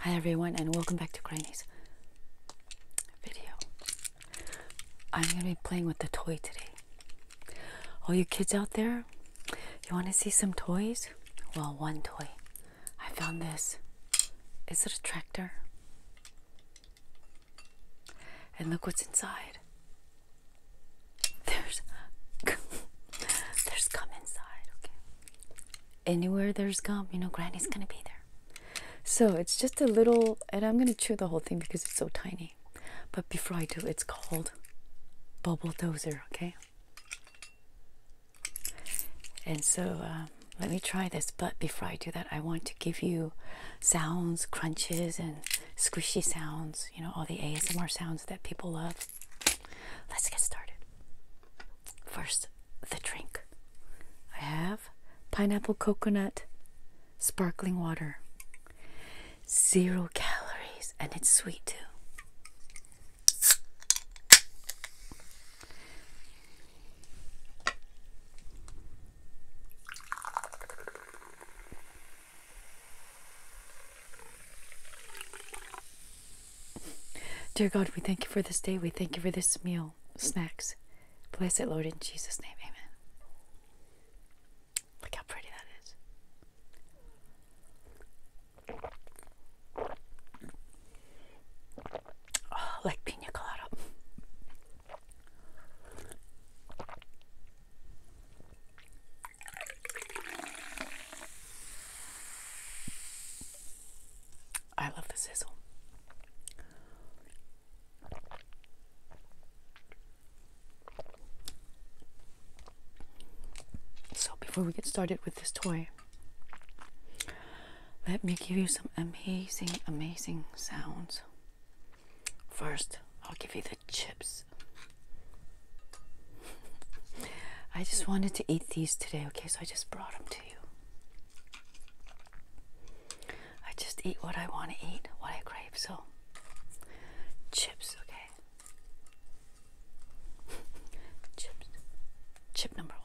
Hi everyone and welcome back to Cranny's video. I'm going to be playing with the toy today. All you kids out there, you want to see some toys? Well, one toy. I found this. Is it a tractor? And look what's inside. There's there's come inside, okay? anywhere there's gum, you know, Granny's gonna be there. So it's just a little, and I'm gonna chew the whole thing because it's so tiny. But before I do, it's called Bubble Dozer, okay? And so um, let me try this. But before I do that, I want to give you sounds, crunches, and squishy sounds, you know, all the ASMR sounds that people love. Let's get started. First, the drink. I have pineapple coconut sparkling water. Zero calories, and it's sweet too. Dear God, we thank you for this day. We thank you for this meal, snacks. Bless it, Lord, in Jesus' name. Amen. Look how pretty that is. Oh, like pina colada. I love the sizzle. So, before we get started with this toy, let me give you some amazing, amazing sounds. First, I'll give you the chips. I just wanted to eat these today, okay? So I just brought them to you. I just eat what I want to eat, what I crave. So, chips, okay? chips. Chip number one.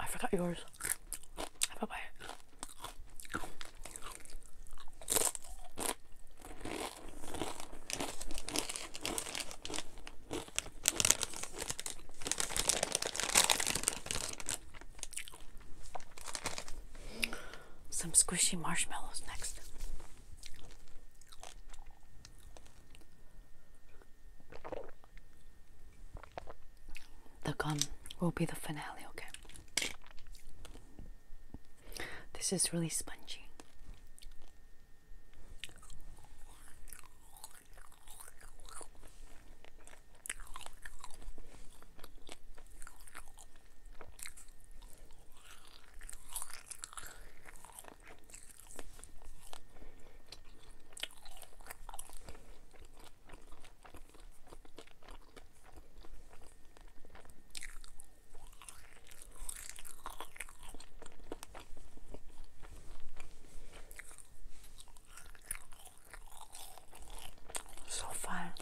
I forgot yours. How Some squishy marshmallows next. The gum will be the finale, okay? This is really spongy. So far,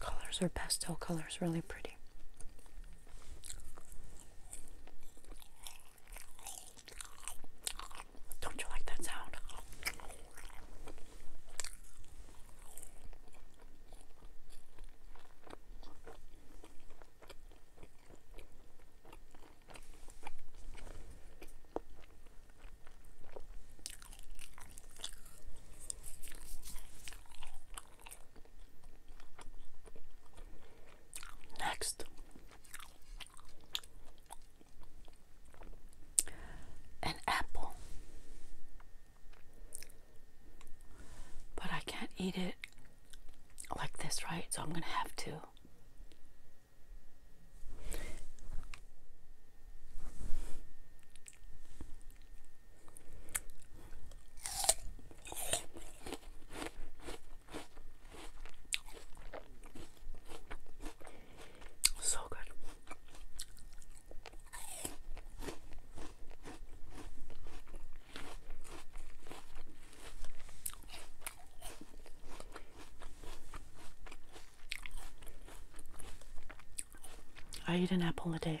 Colors are pastel colors, really pretty. Don't you like that sound? Next, an apple, but I can't eat it like this, right? So I'm gonna have to. So good. I eat an apple a day.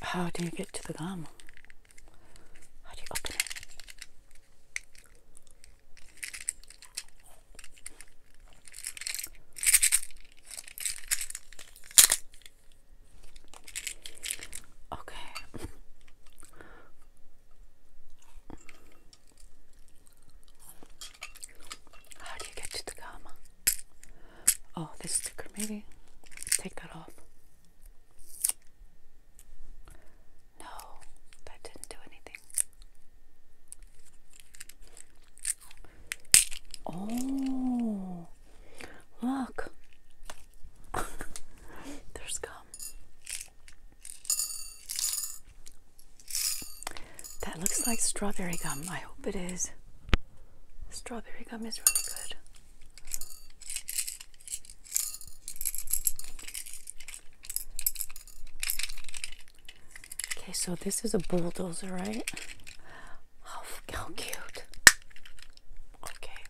How do you get to the gum? How do you open it? Okay. How do you get to the gum? Oh, this sticker maybe. Take that off. No, that didn't do anything. Oh, look. There's gum. That looks like strawberry gum. I hope it is. Strawberry gum is really good. Okay, so this is a bulldozer, right? Oh, how, cute. Okay.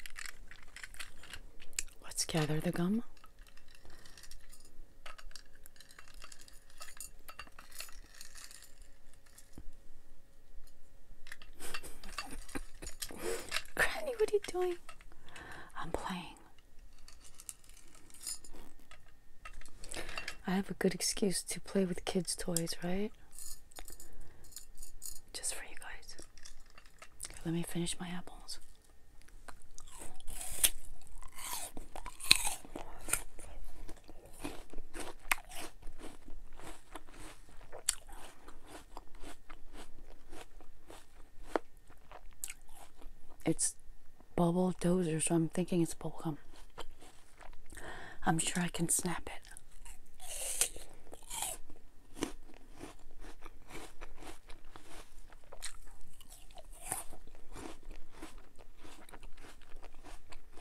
Let's gather the gum. Granny, what are you doing? I'm playing. I have a good excuse to play with kids' toys, right? Just for you guys. Let me finish my apples. It's bubble dozer, so I'm thinking it's bubblegum. I'm sure I can snap it.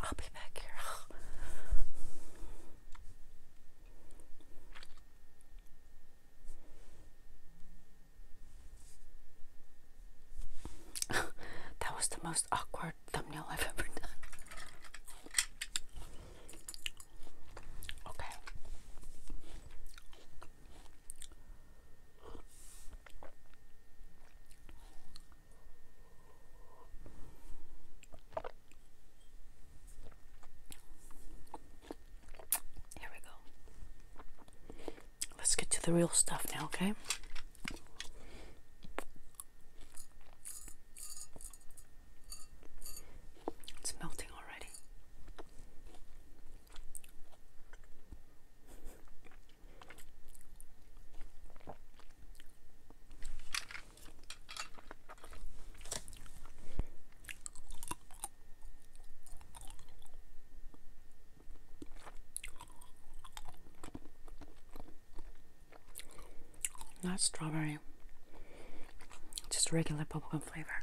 I'll be back here. that was the most awkward thumbnail I've ever done. Okay. Here we go. Let's get to the real stuff now, okay? It's melting already. Not strawberry, just regular bubblegum flavor.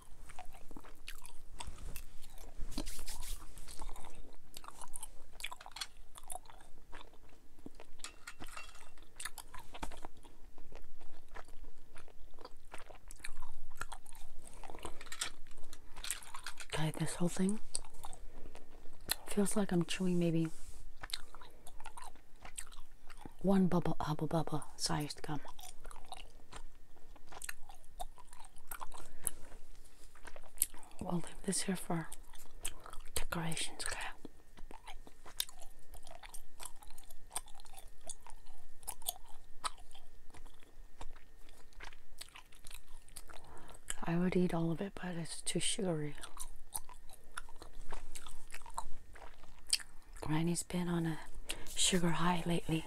Okay, this whole thing feels like I'm chewing maybe one bubble bubble bubble sized gum. We'll leave this here for decorations, okay? I would eat all of it, but it's too sugary. Granny's been on a sugar high lately.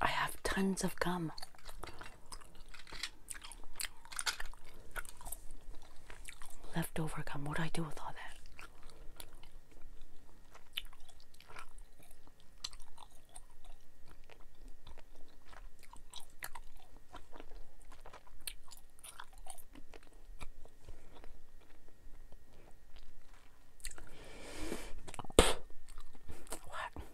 I have tons of gum. Leftover gum. What do I do with all that? What?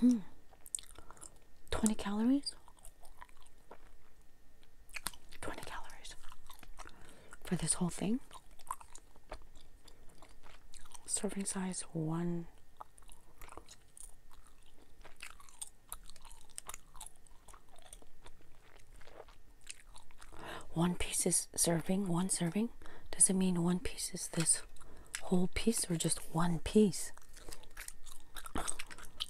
Hmm. 20 calories? 20 calories for this whole thing. Serving size one. One piece is serving, one serving. Does it mean one piece is this whole piece or just one piece?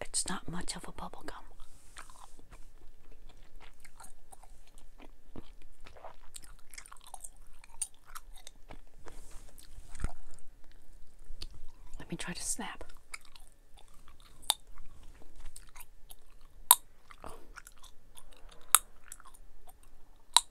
It's not much of a bubble gum. Let me try to snap.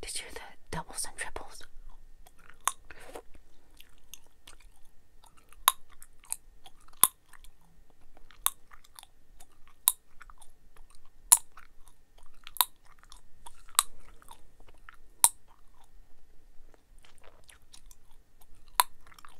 Did you the doubles and triples?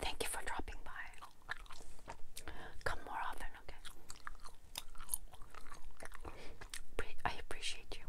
Thank you for dropping by. Come more often, okay? I appreciate you.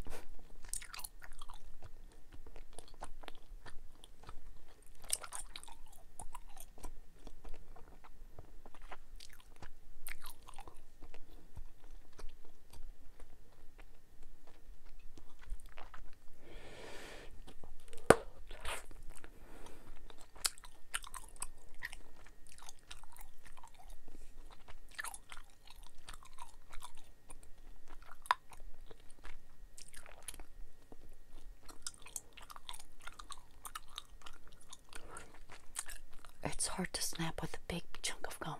It's hard to snap with a big chunk of gum.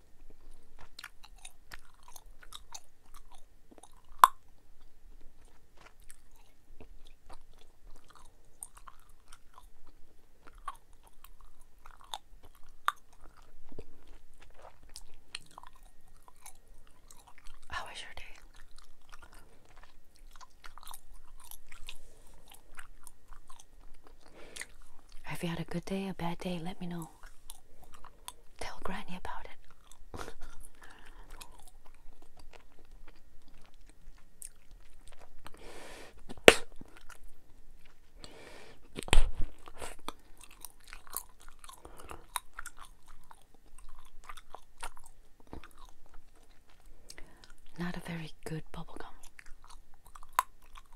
How oh, was your day? Have you had a good day, a bad day? Let me know. Tell Granny about it. Not a very good bubble gum.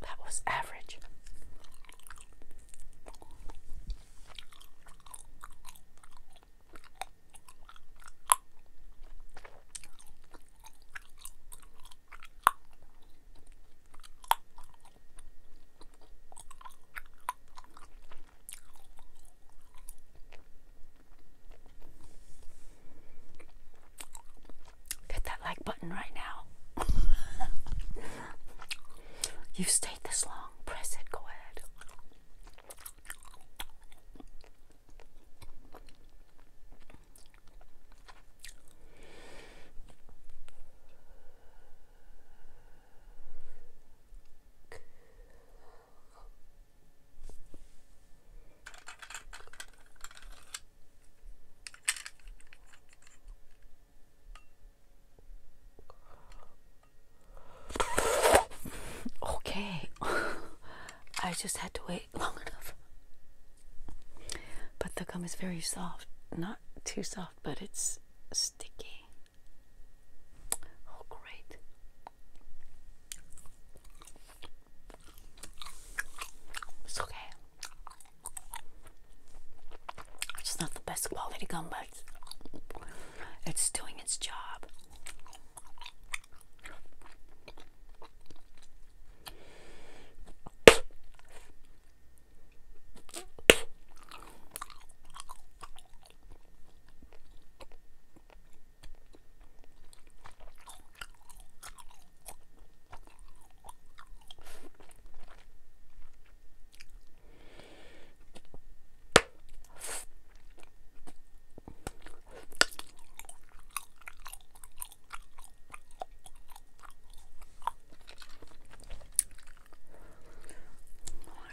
That was average. Hit that like button right now. You've stayed this long. Press it. Go ahead. Okay, I just had to wait long enough. But the gum is very soft. Not too soft, but it's sticky. Oh, great. It's okay. It's not the best quality gum, but it's doing its job.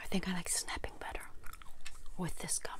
I think I like snapping better with this gum.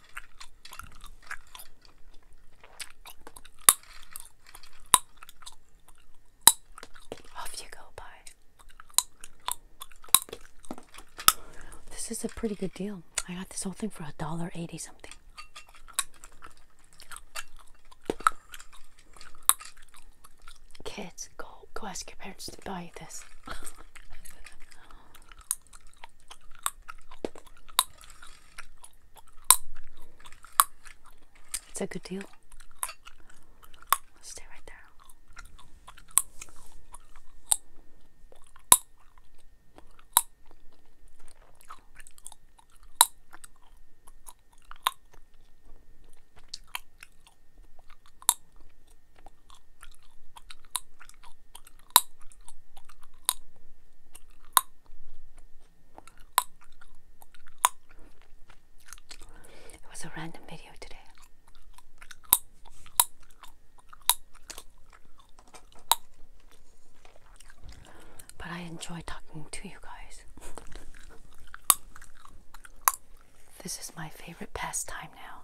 Off you go, bye. This is a pretty good deal. I got this whole thing for a dollar eighty something. Kids, go go ask your parents to buy this. It's a good deal. Stay right there. It was a random video today. But I enjoy talking to you guys. this is my favorite pastime now.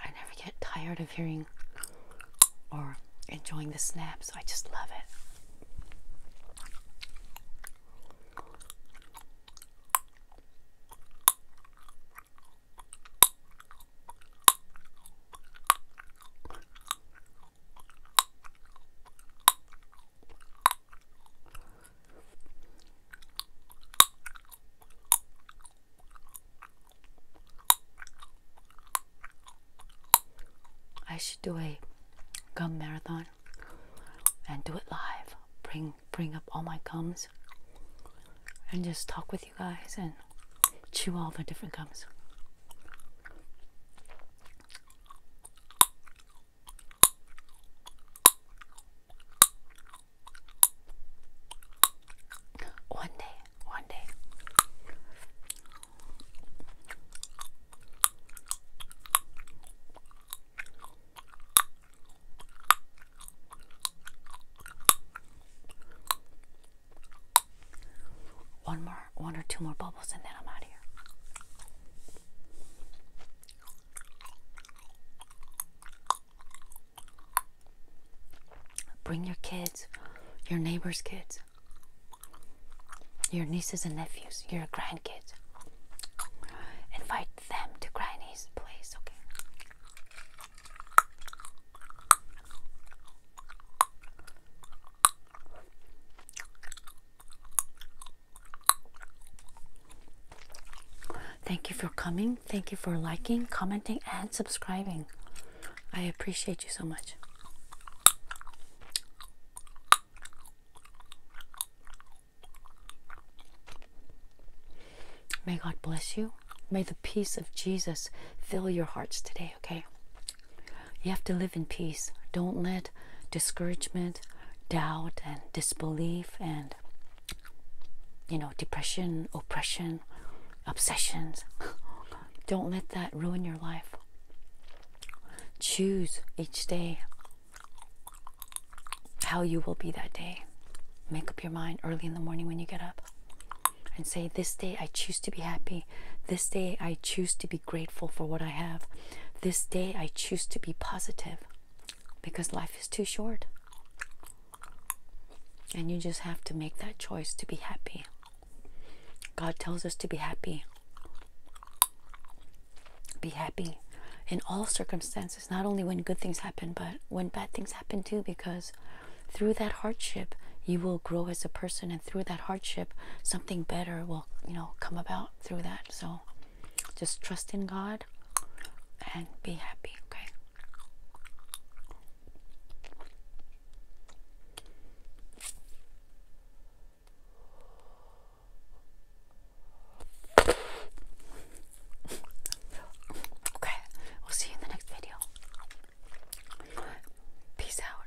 I never get tired of hearing or enjoying the snaps. I just love it. I should do a gum marathon and do it live. Bring bring up all my gums and just talk with you guys and chew all the different gums. One day, one day. One more, one or two more bubbles, and then I'm out of here. Bring your kids, your neighbors' kids, your nieces and nephews, your grandkids. Invite them to Granny's place, okay? Thank you for coming. Thank you for liking, commenting, and subscribing. I appreciate you so much. May God bless you. May the peace of Jesus fill your hearts today, okay? You have to live in peace. Don't let discouragement, doubt, and disbelief and you know, depression, oppression, obsessions. Don't let that ruin your life. Choose each day how you will be that day. Make up your mind early in the morning when you get up and say, This day I choose to be happy. This day I choose to be grateful for what I have. This day I choose to be positive because life is too short. And you just have to make that choice to be happy. God tells us to be happy. Be happy in all circumstances, not only when good things happen, but when bad things happen too, because through that hardship, you will grow as a person, and through that hardship, something better will, you know, come about through that. So, just trust in God and be happy, okay? Okay, we'll see you in the next video. Peace out.